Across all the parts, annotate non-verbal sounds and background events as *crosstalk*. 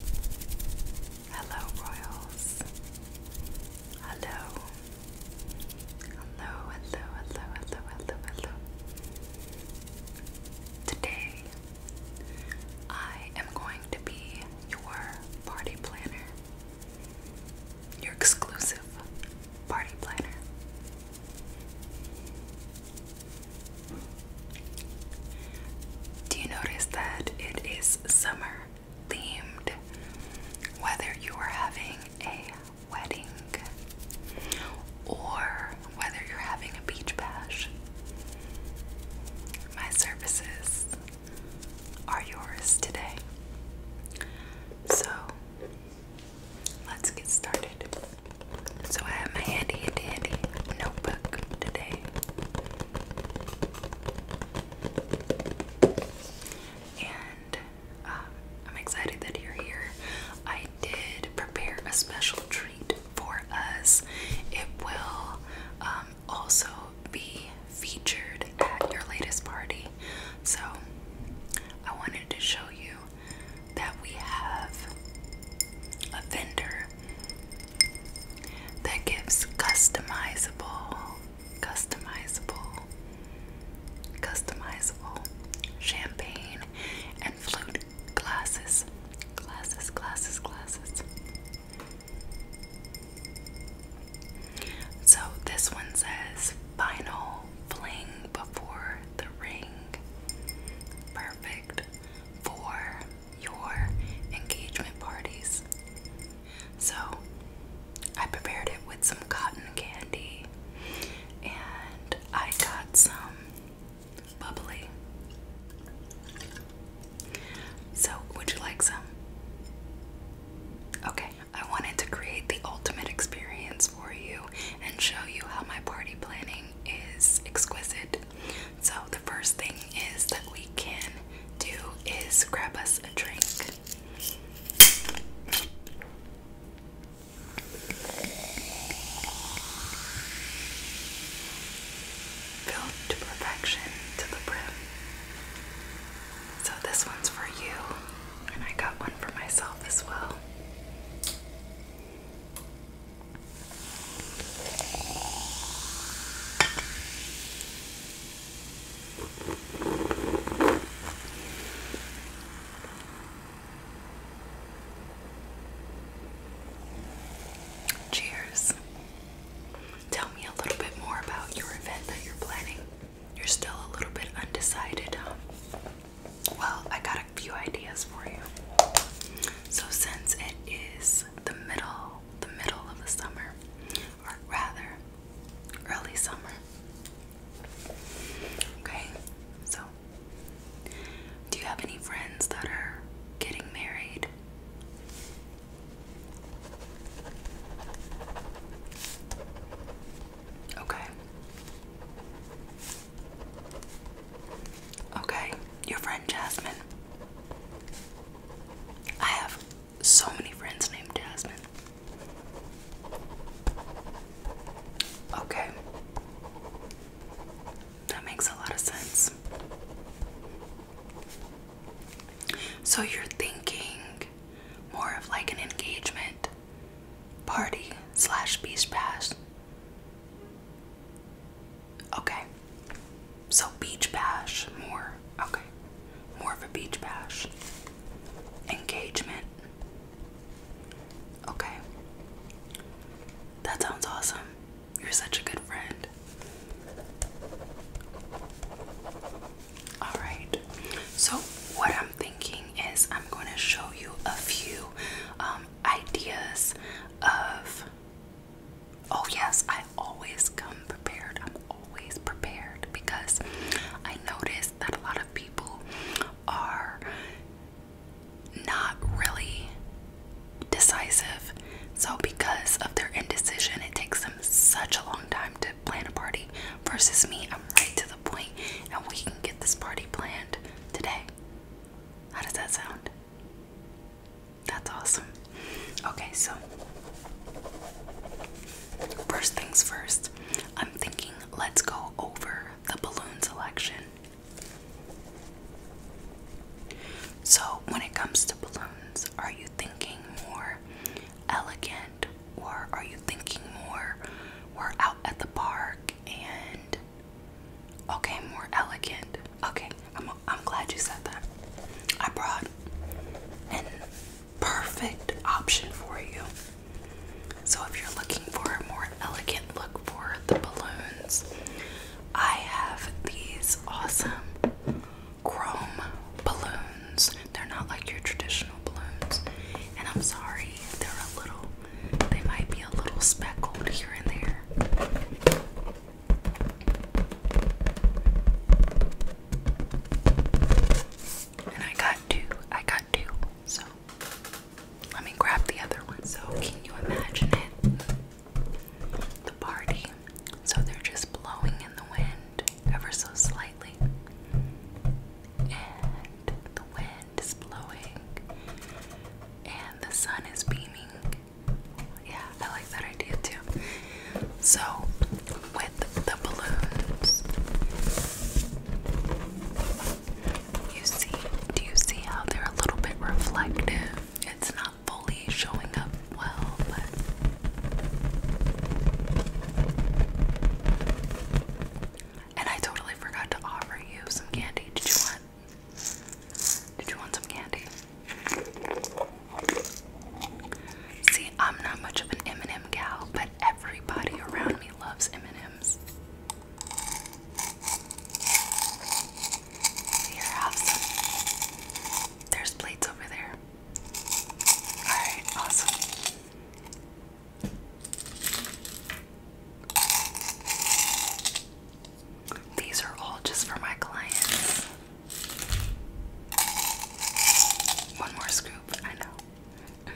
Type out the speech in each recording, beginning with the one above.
Hello, Royals. Hello. Hello, hello, hello, hello, hello, Today, I am going to be your party planner, your exclusive party planner. Do you notice that it is summer themed? Whether you are having a wedding or whether you're having a beach bash, my services are yours today. So let's get started. So I have my handy, handy, handy notebook today. And um, I'm excited that you're here. I did prepare a special treat for us. It will um, also be featured at your latest party. So I wanted to show you that we have a vendor that gives customizable, customizable, customizable champagne and flute glasses, glasses, glasses, glasses. So this one says final fling before the ring. Perfect for your engagement parties. So I prepared it with some cotton candy and I got some bubbly. So, would you like some? Okay, I wanted to create the ultimate experience for you and show you how my party planning is exquisite. So, the first thing is that we can do is grab us a drink. Filled to perfection to the brim. So, this one's for you, and I got one for myself as well. Cheers. Tell me a little bit more about your event that you're planning. You're still a little bit undecided, Well, I got a a few ideas for you. So since it is the middle, the middle of the summer, or rather early summer. Okay, so do you have any friends that are getting married? Okay. Okay, your friend Jasmine. I have so many friends named Jasmine. Okay. That makes a lot of sense. So you're thinking more of like an engagement party slash beast pass. Okay. So beach bash more. Okay. More of a beach bash. Engagement. Okay. That sounds awesome. You're such a good friend. Alright, so what I'm thinking is I'm going to show you a few um, ideas of, oh, yes, I always come prepared. I'm always prepared because I notice that a lot of people are not really decisive. So, because of their indecision, it takes them such a long time to plan a party versus me. I'm right to the point, and we can get this party planned today. How does that sound? That's awesome. Okay, so first things first, I'm thinking let's go over the balloon selection. So, when it comes to balloons, are you thinking more elegant or are you thinking more we're out at the park and Okay, more elegant. Okay, I'm I'm glad you said that. I brought a perfect option for you. So if you're looking for a more elegant look for the balloons, I have these awesome chrome balloons. They're not like your traditional balloons. And I'm sorry, they're a little they might be a little speckled here and there. And I got two. I got two. So let me grab the other one. So can you imagine it? The party. So they're just blowing in the wind ever so slightly. And the wind wind is blowing and the sun is beaming. Yeah, I like that idea too. So, with the balloons, you see, do you see how they're a little bit reflective? It's not fully showing up well, but. And I totally forgot to offer you some candy. Did you want? Did you want some candy? See, I'm not much of an M&M gal, but everybody around me loves M&Ms. Here, have some. There's plates over there. Alright, awesome. These are all just for my clients. One more scoop, I know.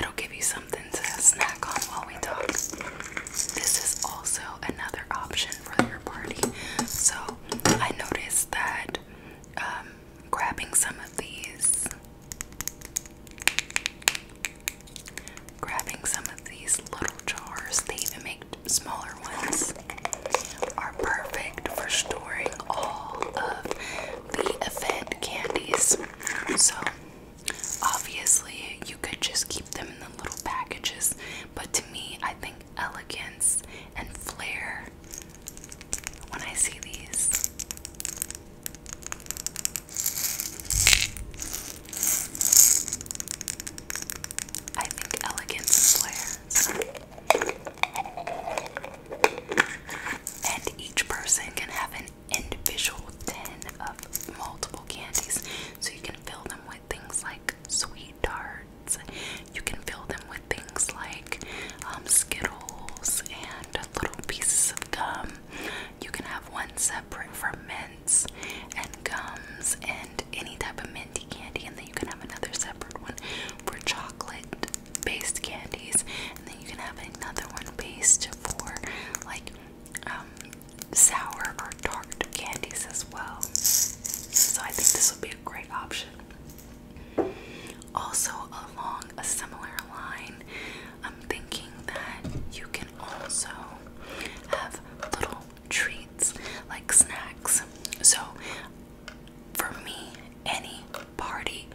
It'll give you something to snack on while we talk. This is also another option for your party. So I noticed that um, grabbing some of these, grabbing some of these little jars, they even make smaller ones, are perfect for storing all of the event candies. So, obviously, you could just keep them in the little packages, but to me, I think elegance and flair when I see these I think elegance is And each person can have an individual tin of multiple candies. So you can fill them with things like sweet tarts. You can fill them with things like um, Skittles and little pieces of gum. You can have one separate for mints and gums and any type of minty candy, and then you can have another separate one for chocolate based candies, and then you can have another one based for like um, sour or tart candies as well. So I think this would be a great option. Also, along a similar line, I'm thinking that you can also have little treats like snacks. So, for me, any party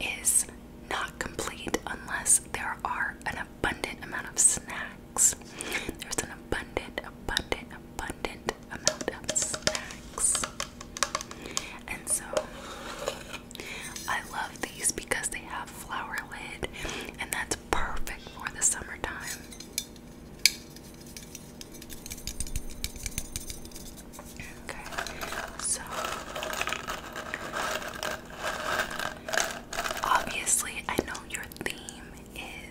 is not complete unless there are an abundant amount of snacks. There's an abundant, abundant, abundant amount of snacks. And so I love these because they have flower lid and that's perfect for the summertime. Okay, so obviously I know your theme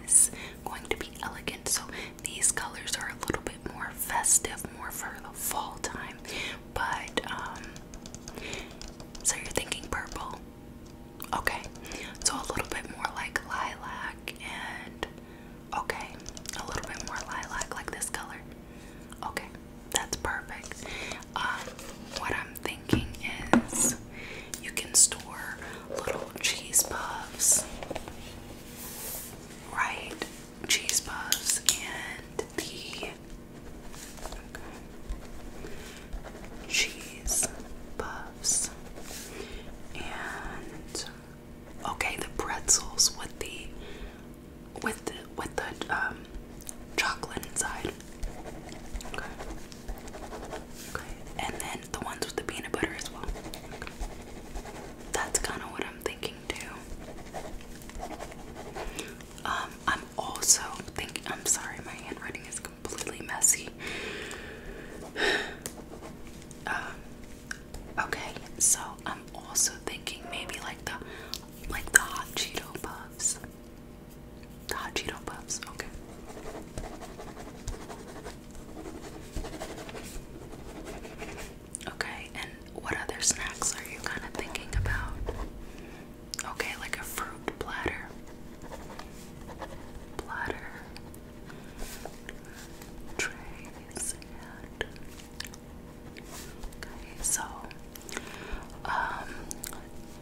is going to be elegant, so these colors are a little bit more festive, more for the fall time. But um, so you're thinking purple. Okay. So a little bit more like lilac and okay, a little bit more lilac like this color. Okay. That's perfect. Um, what I'm thinking is you can store little cheese puffs. Right? cheese puffs and the cheese puffs and okay the pretzels with the with with the um chocolate inside. Okay. Okay. And then the ones with the peanut butter as well. That's kind of what I'm thinking. Um, I'm also thinking. I'm sorry, my handwriting is completely messy. *sighs* Um, okay, so I'm also thinking maybe like the like the hot Cheeto puffs. The hot Cheeto puffs. Okay. Okay, and what other snacks are you kind of thinking about? Okay, like a fruit platter. Platter. Trays and. Okay, so. Um,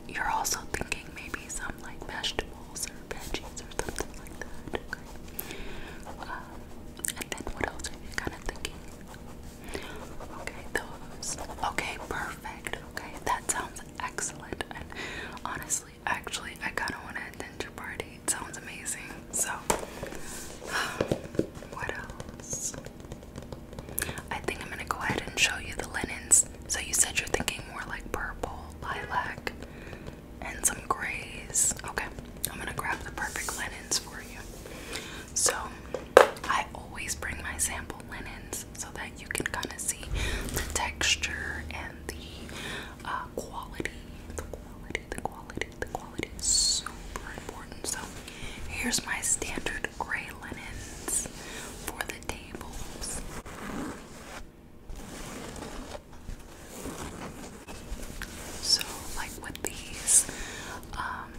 you're also thinking maybe some like vegetables or veggies or something like that and then what else are you kind of thinking? Okay, those. Okay, perfect. Okay, that sounds excellent. And honestly, actually, I kind of want to attend your party. It sounds amazing. So, *sighs* what else? I think I'm gonna go ahead and show you the linens. So you said you're thinking more like purple, lilac and some grays. Okay, I'm gonna grab the perfect linens for you. So, I always bring my sample linens so that you can kind of see the texture and the uh, quality. The quality, the quality, the quality is super important. So, here's my standard gray linens for the tables. So, like with these, um,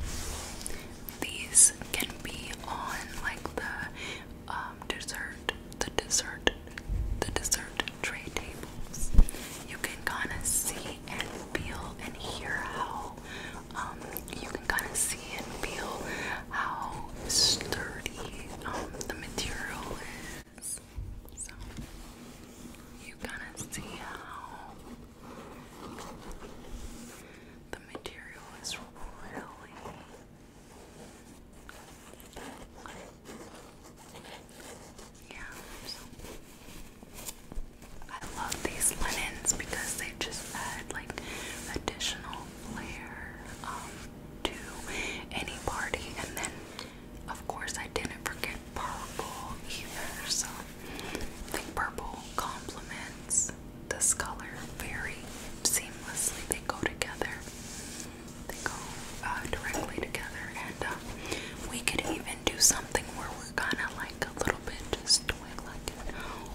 these can be on like the um, dessert, the dessert, the dessert tray tables. You can kind of see and feel and hear how um, you can kind of see and feel how sturdy the material is. So you kind of see how the material is really yeah, so I love these linens because they just add like additional flair um, to any party and then of course, I didn't forget purple either. So I think purple complements this color very seamlessly. They go together. They go uh, directly together, and uh, we could even do something where we're kind of like a little bit just doing like an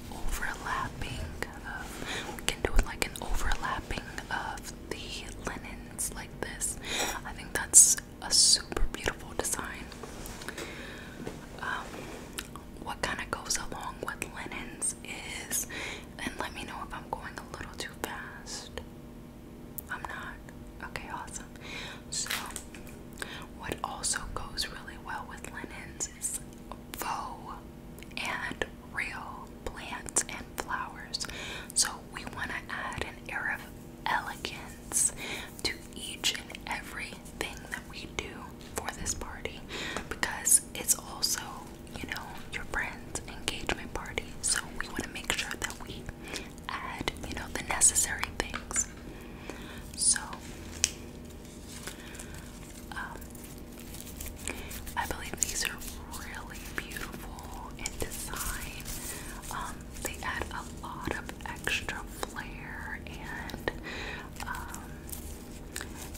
overlapping. we can do like an overlapping of the linens, like this. I think that's a super beautiful design. Um, what kind of goes along with linens is, and let me know if I'm going a little too fast. I'm not. Okay, awesome. So, what also goes really well with linens is faux and real plants and flowers. So, we want to add an air of elegance to each and every thing that we do for this party because it's also, you know, your friend's engagement party. So we want to make sure that we add, you know, the necessary things. So, um, I believe these are really beautiful. And design. Um, they add a lot of extra flair and um,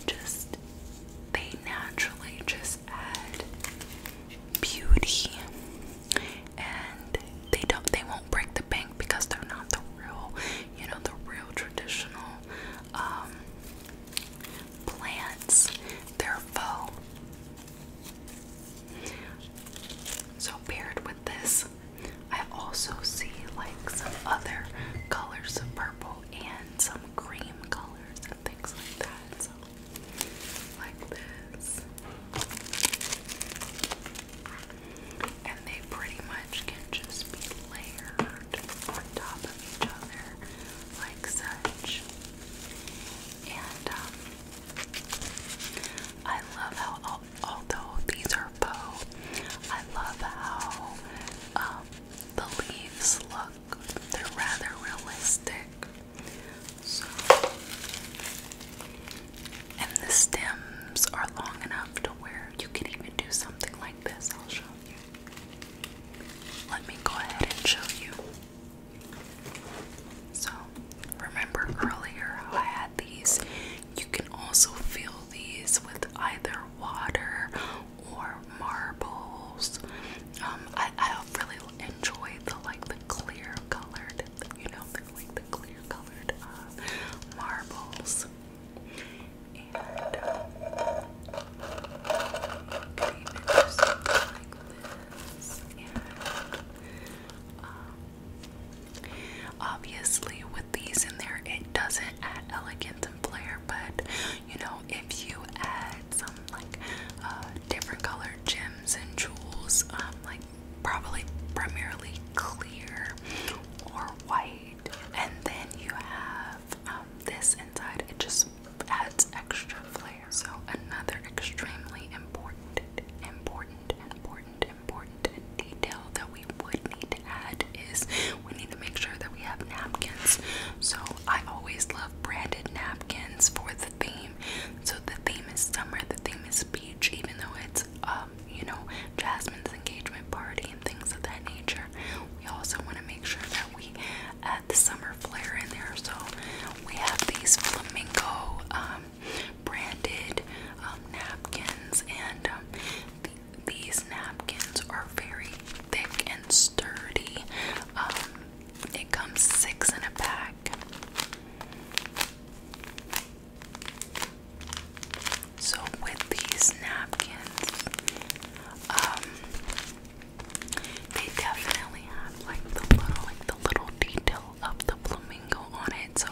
just they naturally just add beauty and they don't they won't break the bank because they're not the real you know the real traditional um plants they're faux so paired with this, I also see like some other colors of purple and some cream colors and things like that. So like this. And they pretty much can just be layered on top of each other like such and um, I love how, although these are faux, I love how um, the leaves look. They're rather realistic. and the stems are long enough to where you can even do something like this. I'll show you. Let me go ahead and show you. So, remember earlier how I had these? You can also fill these with either water or marbles. Um, I, really enjoy the like the clear colored, you know, like the clear colored uh, marbles. Uh, um, obviously, with these in there, it doesn't add elegance and flair, but you know, if you add some like uh, different colored gems and jewels, um, like probably primarily clear or white, and then you have um, this inside, it just adds extra flair. So another extremely important, important, important, important detail that we would need to add is we need to make sure that we have napkins. So I always love branded napkins for the theme. So the theme is summer, the theme is beach, even though it's um, you know, Jasmine's engagement party and things of that nature. We also want to make sure that we add uh, the summer flair in there. So we have these flamingo um, branded um, napkins, and um, these napkins are very thick and sturdy. it comes six in a pack. So with these napkins, they definitely have like the little like the little detail of the flamingo on it. So,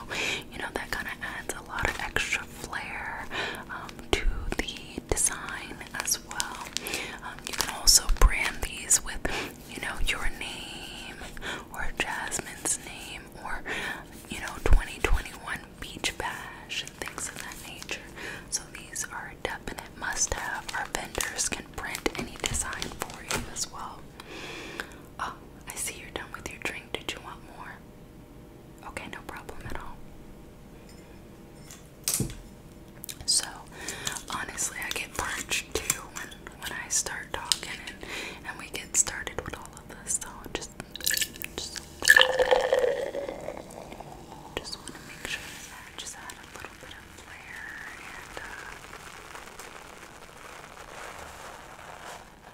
you know, that kind of adds a lot of extra flair um, to the design as well. Um, you can also brand these with, you know, your name or Jasmine's name or, you know, 2021 Beach Bash and things of that nature. So these are a definite must have. Our vendors can print any design for you as well. Oh, I see you're done with your drink. Did you want more? Okay, no problem at all. So, honestly, I get parched too when I start talking and, we get started with all of this. So just just want to make sure that just add a little bit of flair and uh,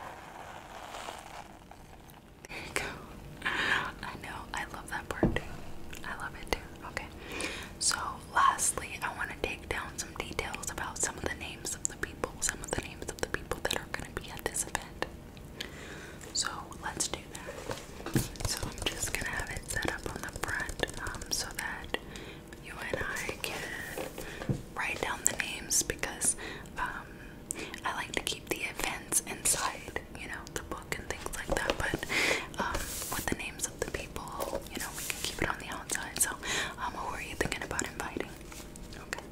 There you go. I know, I love that part I love it too. Okay. So lastly I want to take down some details about some of the names of the people, some of the names of the people that are gonna be at this event. So let's do that. So I'm just gonna have it set up on the front um, so that you and I can write down the names because um, I like to keep the events inside, you know, the book and things like that. But um, with the names of the people, you know, we can keep it on the outside. So um, who are you thinking about inviting? Okay.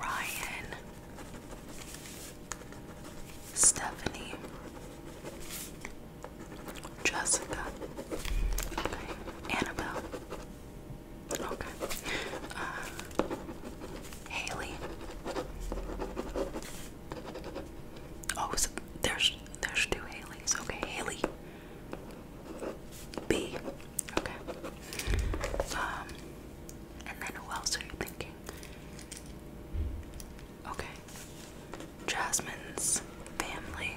Ryan, Stephanie, Jessica, okay, Annabelle, okay, uh, Haley. Oh, there's there's two Haleys. Okay, Haley. B. Okay. Um, and then who else are you thinking? Okay. Jasmine's family.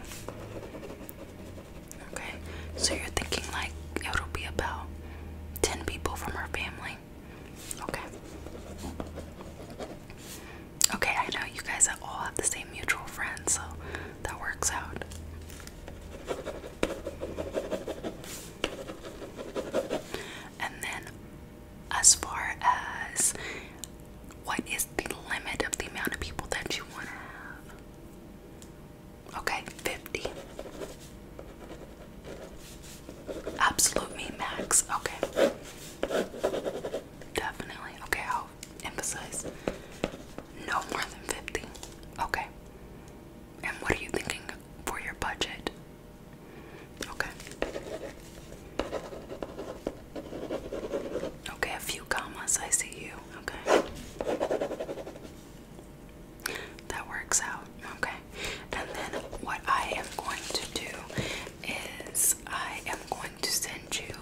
Okay. So you're thinking like it'll be about 10 people from her family. Okay. Okay, I know you guys all have the same mutual friends, so that works out. And then, as far as what is the limit of the amount of people that you want to have? Okay, 50. Absolute max. Okay. Definitely. Okay, I'll emphasize no more than 50. Okay. And what are you thinking for your budget? Okay. Okay, a few commas. I see you. Okay. That works out. Okay. And then what I am going to do is I am going to send you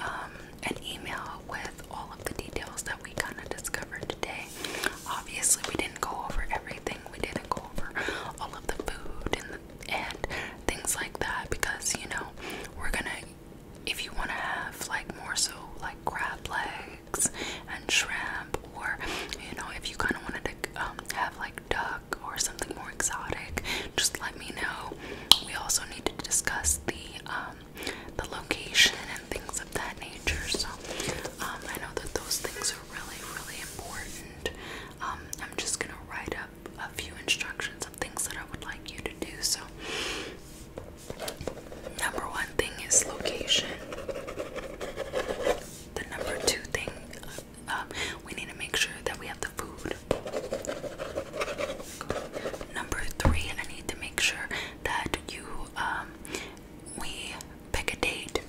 um, an email with all of the details that we kind of discovered today. Obviously, we didn't go over everything. We didn't go over all of the food and things like that because you know we're gonna. If you want to have like more so like crab legs and shrimp, or you know, if you kind of wanted to um, have like duck or something more exotic, just let me know. We also need to discuss the um, the location and things of that nature. So um, I know that those things are really, really important. Um, I'm just gonna write up a few instructions of things that I would like you to do. So number one thing is location. The number two thing, uh, um, we need to make sure that we have the food. Number three, I need to make sure that you we pick a date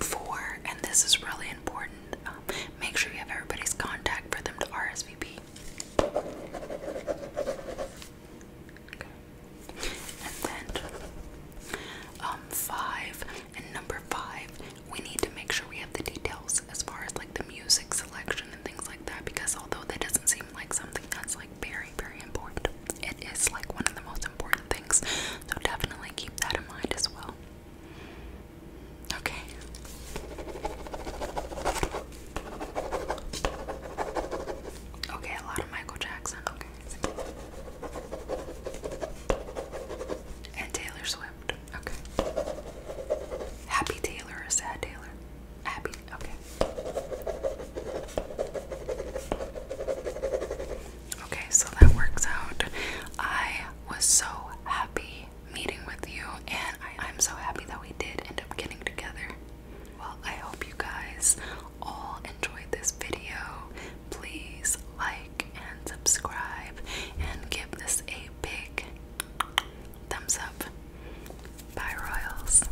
for, and this is really important, um, make sure you have everybody's contact for them to RSVP. And then um five and number five we need to make sure we have the details as far as like the music selection things like that because although that doesn't seem like something that's like very, very important, it is like one of the most important things. So definitely keep that in mind as well. Okay. Okay, a lot of Michael Jackson. Okay. And Taylor Swift. Okay. Happy Taylor or sad Taylor? Happy. Okay. Okay, so that works out. I was so happy meeting with you, and I, I'm so happy that we did end up getting together. Well, I hope you guys all enjoyed this video. Please like and subscribe and give this a big thumbs up. Bye, Royals.